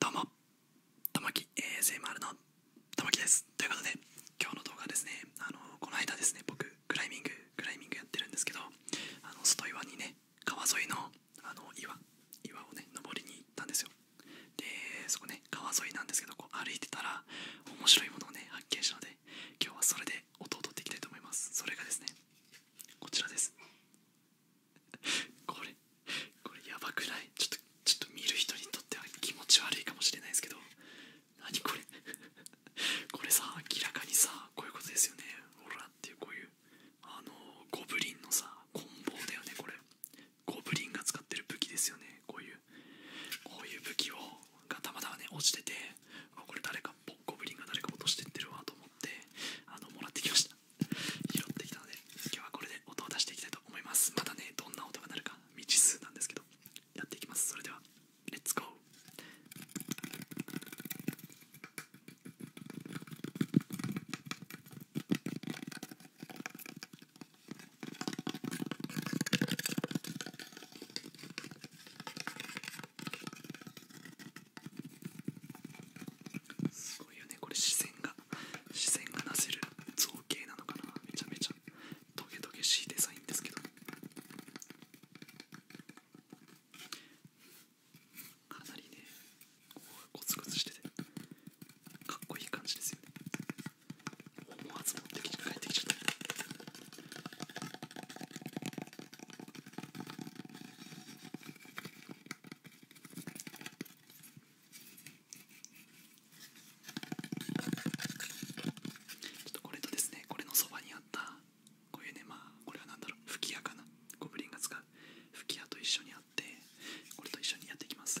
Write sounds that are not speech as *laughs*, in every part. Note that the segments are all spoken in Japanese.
どうもともき m r のともですということで今日の動画はですねこの間ですね僕クライミングクライミングやってるんですけどあの外岩にね川沿いのあの岩岩をね登りに行ったんですよでそこね川沿いなんですけどこう歩いてたら面白いものをね発見したので今日はそれで音を取っていきたいと思いますそれがですねこちらです *laughs* これこれやばくないちょっとちょっと見る人にとっては気持ち悪いかもしれないですけど何これ *laughs* これさ明らかにさこういうことですよねオーラっていうこういうあのゴブリンのさ棍棒だよねこれゴブリンが使ってる武器ですよねこういうこういう武器をがたまたまね落ちててあこれ誰かゴブリンが誰か落としてってるわと思ってあのもらってきました拾ってきたので今日はこれで音を出していきたいと思いますまだねどんな音が鳴るか未知数なんですけどやっていきますそれではレッツゴーすごいよねこれ視線が視線がなせる造形なのかなめちゃめちゃトゲトゲしいデザインですけどかなりねここがコツコツしててかっこいい感じですよね思わず持ってきて帰ってきちゃったちょっとこれとですねこれのそばにあったこういうねまあこれは何だろう吹き矢かなゴブリンが使う吹き矢と一緒にあってこれと一緒にやっていきます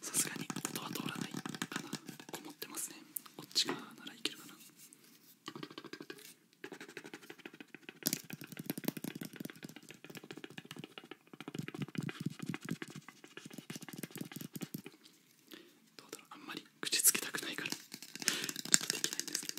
さすがに音は通らないかなこもってますねこっち側ならいけるかなどうだろうあんまり口つけたくないからできないんですけど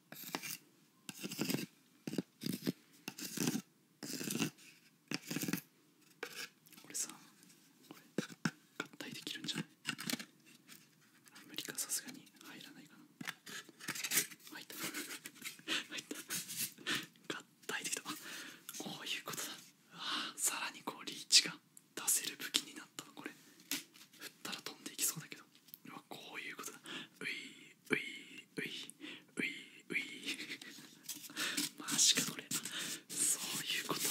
俺さこ合体できるんじゃない無理かさすがに入らないかな入った *laughs* 入った合体できたあこういうことだあさらにこうリーチが出せる武器になったのこれ振ったら飛んでいきそうだけどうこういうことだういういういういういマジかこれそういうことい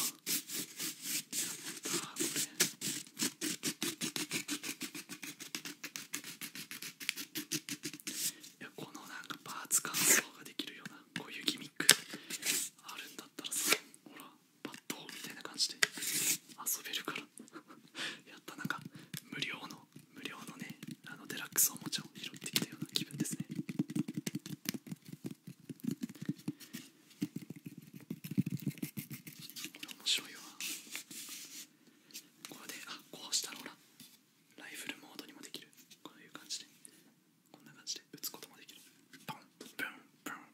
やこのなんかパーツ乾燥ができるようなこういうギミックあるんだったらさほらパッドみたいな感じで遊べるから *laughs* やったなんか無料の無料のねあのデラックスおもちゃを拾ってきたような気分ですねこれ面白いわこれであこうしたらほらライフルモードにもできるこういう感じでこんな感じで打つこともできるポンポンポン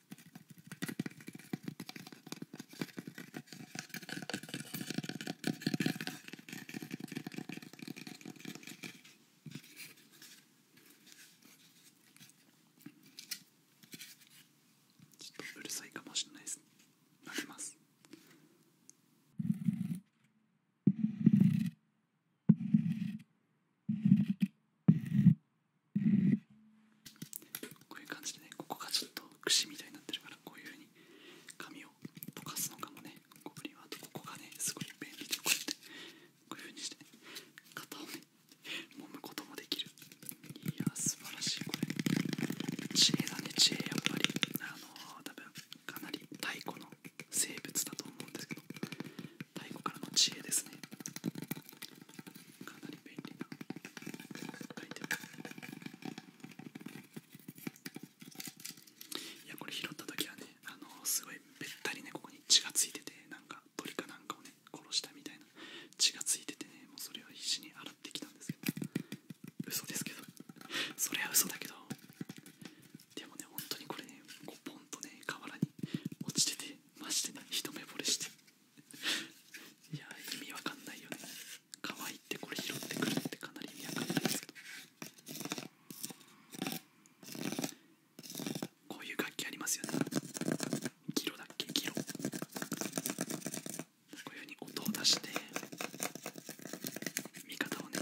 ちょっとうるさいかもしれないです開けますこういう感じでねここがちょっと櫛みたいになってるからこういうふうに紙を溶かすのかもねゴブリンはあとここがねすごい便利でこうやってこういうふうにして、ね、型をね揉むこともできるいや素晴らしいこれ知恵だね知恵やっぱりあのー、多分かなり太古の生物だと思うんですけど太鼓からの知恵ですねかなり便利なアイテムいやこれ拾った時はねあのすごいべったりねここに血がついててなんか鳥かなんかをね殺したみたいな血がついててねもうそれを必死に洗ってきたんですけど嘘ですけどそれは嘘だけどでもね本当にこれねこうポンとね河原に落ちててまして、ね一目ぼれして *laughs* いや意味わかんないよね可愛いってこれ拾ってくるってかなり意味わかんないですけどこういう楽器ありますよねギロだっけギロこういうふうに音を出して味方をね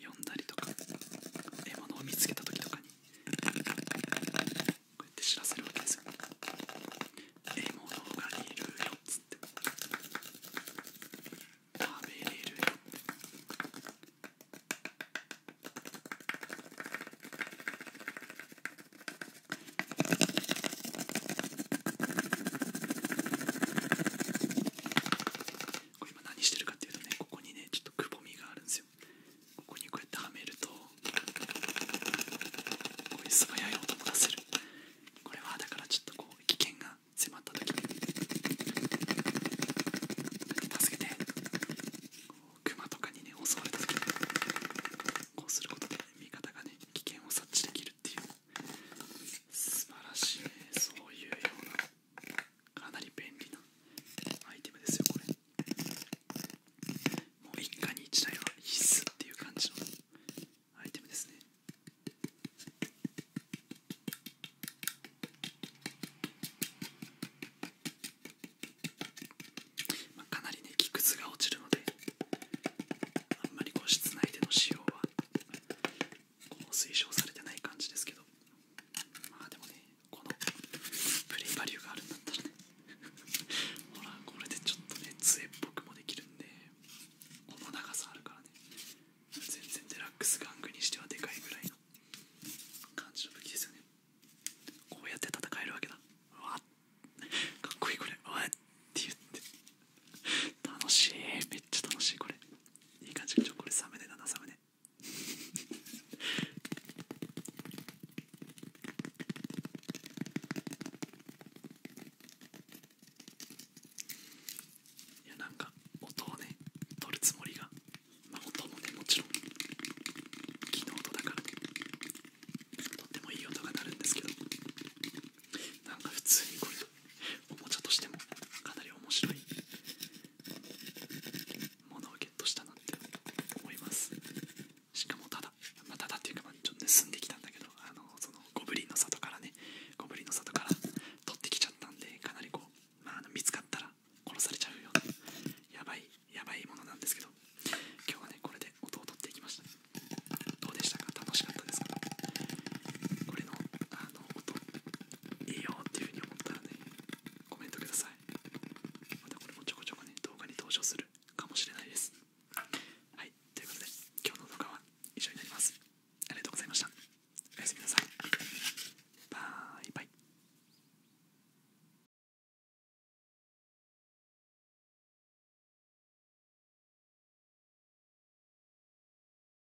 読んだりとか獲物を見つけた時とかにこうやって知らせるわけですよ獲物がいるよっつって食べれるよこれ今何してるかっていうとねここにねちょっとくぼみがあるんですよここにこうやってはめるとこういう素早い音も出せるこれはだからちょっとこう危険が迫った時に助けてクマとかにね襲われた時にこうすることで味方がね危険を察知できるっていう素晴らしいねそういうようなかなり便利なアイテムですよこれもう一家に一台は必須っていう感じのアイテムですねかなりね木くずが落ちるのであんまりこう室内での使用は推奨されてない感じですけどまあでもねこのプレイバリューがあるんだったらねほらこれでちょっとね杖っぽくもできるんでこの長さあるからね全然デラックス玩具にしてはでかいぐらいの感じの武器ですよねこうやって戦えるわけだうわっかっこいいこれうわって言って楽しいめっちゃ楽しいこれいい感じちょこれサムネだなサムネいやなんか音をね取るつもりがまあ音もねもちろん木の音だからとってもいい音が鳴るんですけどなんか普通にこういうおもちゃとしてもかなり面白いものをゲットしたなって思いますしかもただ、まただっていうかまちょっと盗んできたんだけどあのそのゴブリンの里からねゴブリンの里から取ってきちゃったんでかなりこう、あ、の見つかったら殺されちゃうようなやばいやばいものなんですけど今日はねこれで音を取っていきましたどうでしたか楽しかったですかこれのあの音いいよっていう風に思ったらねコメントくださいまたこれもちょこちょこね動画に登場するかもしれないですはいということで今日の動画は以上になりますありがとうございましたおやすみなさいバイバイ